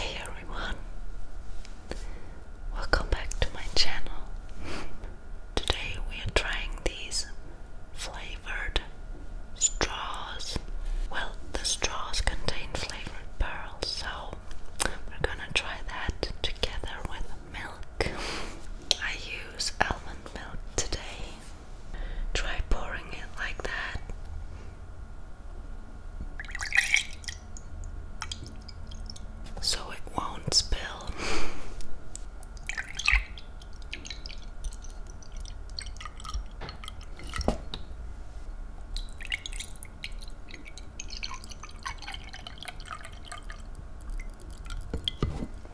Hey everyone, welcome back to my channel. Today we are trying these flavored straws. Well, the straws contain flavored pearls, so we're gonna try that together with milk. I use almond milk today. Try pouring it like that. So it won't spill.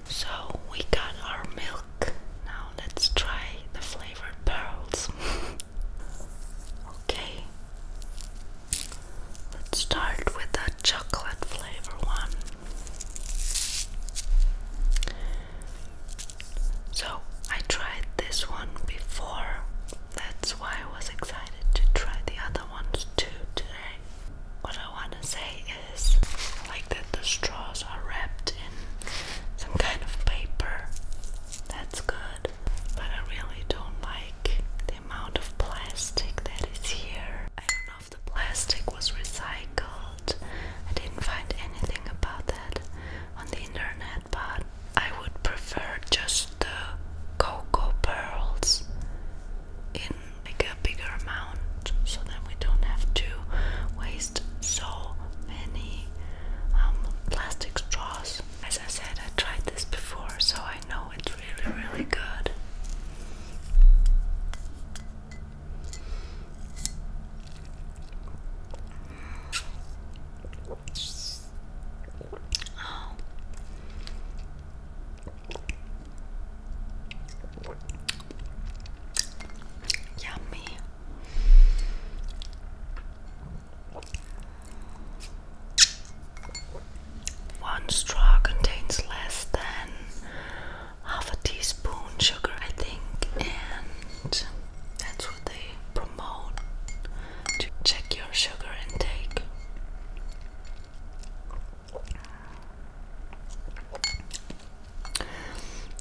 So we got our milk. Now let's try the flavored pearls. okay. Let's start with the chocolate flavor one. So I tried this one before. That's why I was excited to try the other ones too today what I want to say is like that the straws are wrapped in some kind of paper. That's good, but I really don't like the amount of plastic that is here. I don't know if the plastic was recycled. I didn't find anything about that on the internet, but I would prefer just the cocoa pearls in like a bigger amount so then we don't have to waste so many um, plastic straws. As I said, I tried this before, so I know it's really, really good. Yummy. One straw contains less than half a teaspoon sugar, I think, and that's what they promote to check your sugar intake.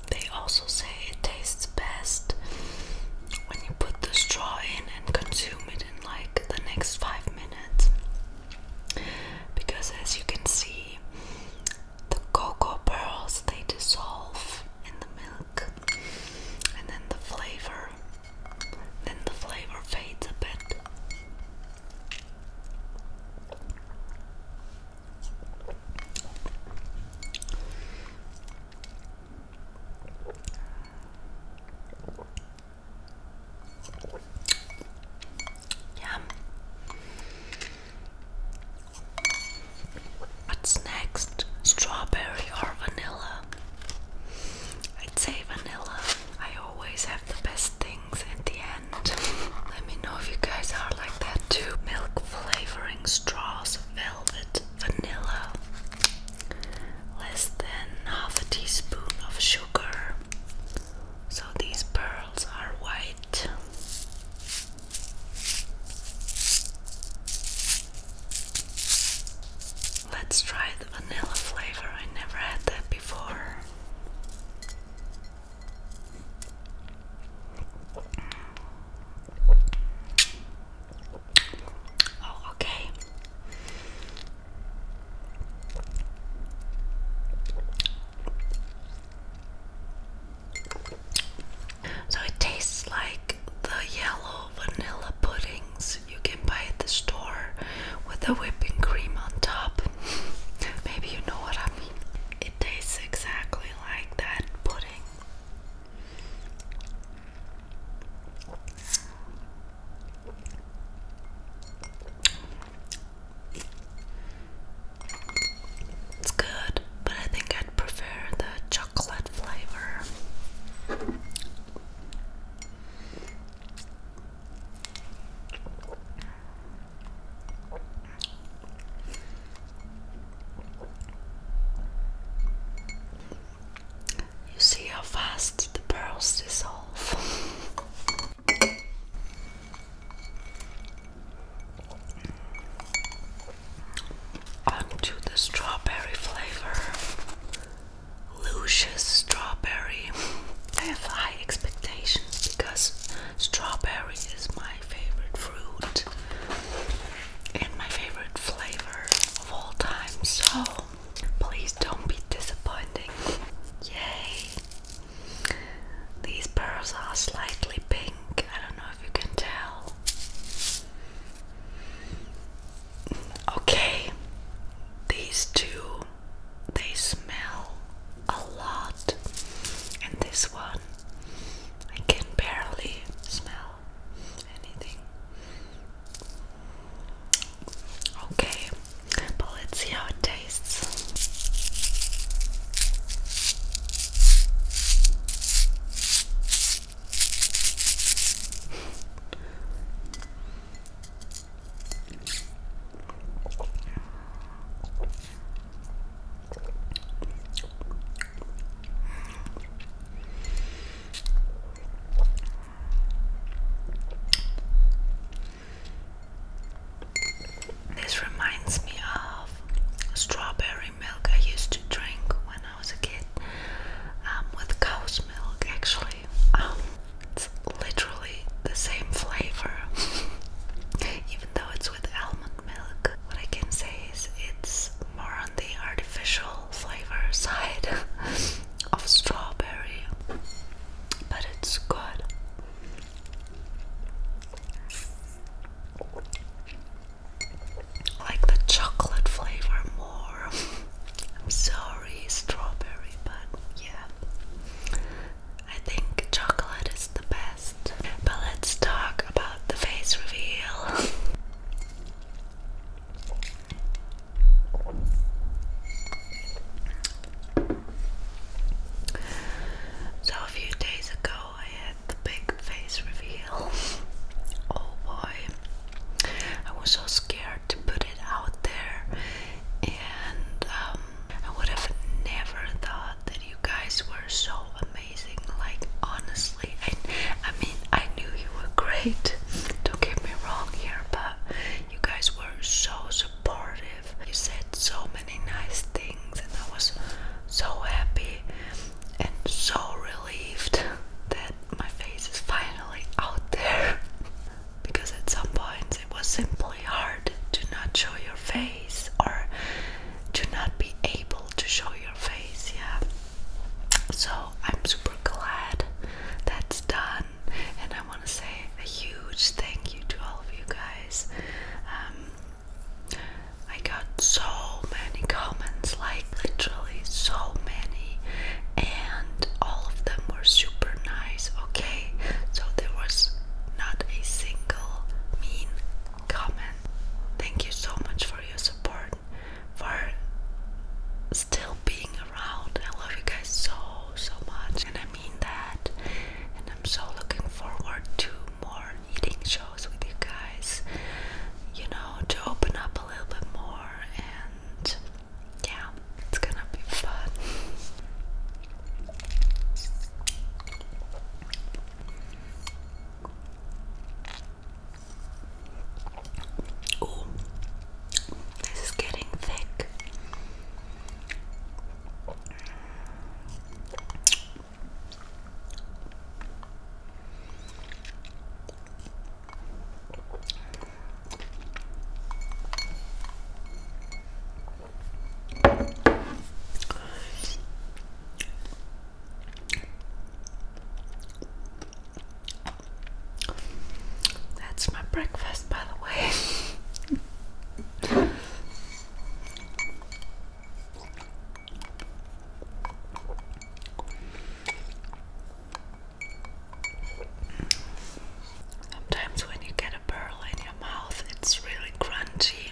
They also say it tastes best when you put the straw in and consume it in like the next five minutes. Because as you can see, the cocoa pearls they dissolve in the milk and then the flavor then the flavor fades a bit. Yum. What's next? Strawberry or vanilla? I'd say vanilla always have the best things at the end. Let me know if you guys are like that too. Milk flavoring straws, velvet, vanilla, less than half a teaspoon of sugar. So these pearls are white. Let's try the vanilla flavor. I never had that before. Oh, okay. So it tastes like the yellow vanilla puddings you can buy at the store with the whipping cream on top. Maybe you know what I mean. It tastes exactly like that pudding. It's good, but I think I'd prefer the chocolate flavor. You see how fast the pearls dissolve. Onto the strawberry flavor. Luscious strawberry. I have high expectations because Strawberry is my favorite fruit and my favorite flavor of all time. So please don't be disappointing. Yay! These pearls are slightly pink. I don't know if you can tell. Okay, these two they smell a lot, and this one I can barely smell anything. Okay, but let's see how it tastes. This reminds me of strawberry milk I used to drink when I was a kid um, with cow's milk, actually. Um, it's literally the same flavor, even though it's with almond milk. What I can say is it's more on the artificial flavor side of strawberry, but it's good. like the chocolate flavor more. I'm sorry, strawberry, but yeah. I think chocolate is the best. But let's talk about the face reveal. so, a few days ago, I had the big face reveal. Oh boy, I was so scared to put it out there, and um, I would have never thought that you guys were so amazing. Like honestly, I, mean, I knew you were great. Don't get me wrong here, but you guys were so supportive. You said so many nice things, and I was so happy and so relieved that my face is finally out there. Because at some point it was simply hard to not show your face or to not be able to show your face, yeah. So I'm super glad that's done, and I want to say a huge thank you to all of you guys. Um, I got so many comments, like literally so many, and all of them were super nice. Okay, so there was not a single mean comment. Thank you so much for your support, for still being around. I love you guys so, so much, and I mean that. And I'm so looking forward to more eating shows with you guys, you know, to open up a little bit more. And yeah, it's gonna be fun. Oh, this is getting thick. That's my breakfast, by the way. Sometimes when you get a pearl in your mouth, it's really crunchy.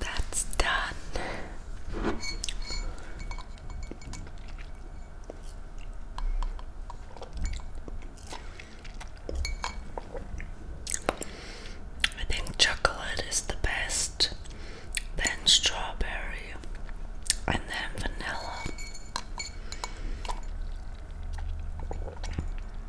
That's done. I think chocolate is the best, then strawberry, and then vanilla.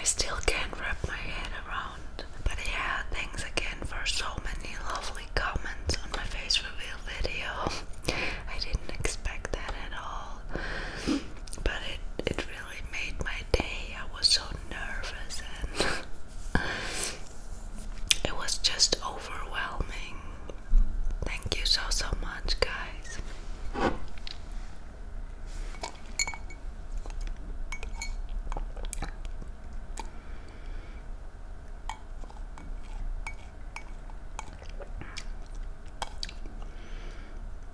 I still can't wrap my head around. But yeah, thanks again for so many lovely comments on my face reveal video. I didn't expect that at all but it it really made my day. I was so nervous and it was just overwhelming. Thank you so so much, guys.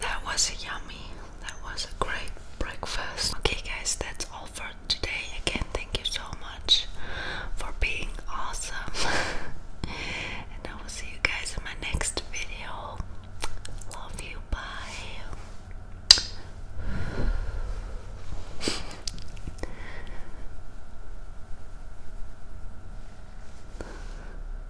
That was yummy. That was a great breakfast. Okay, guys, that's all for today. Again, thank you so much for being awesome. and I will see you guys in my next video. Love you. Bye.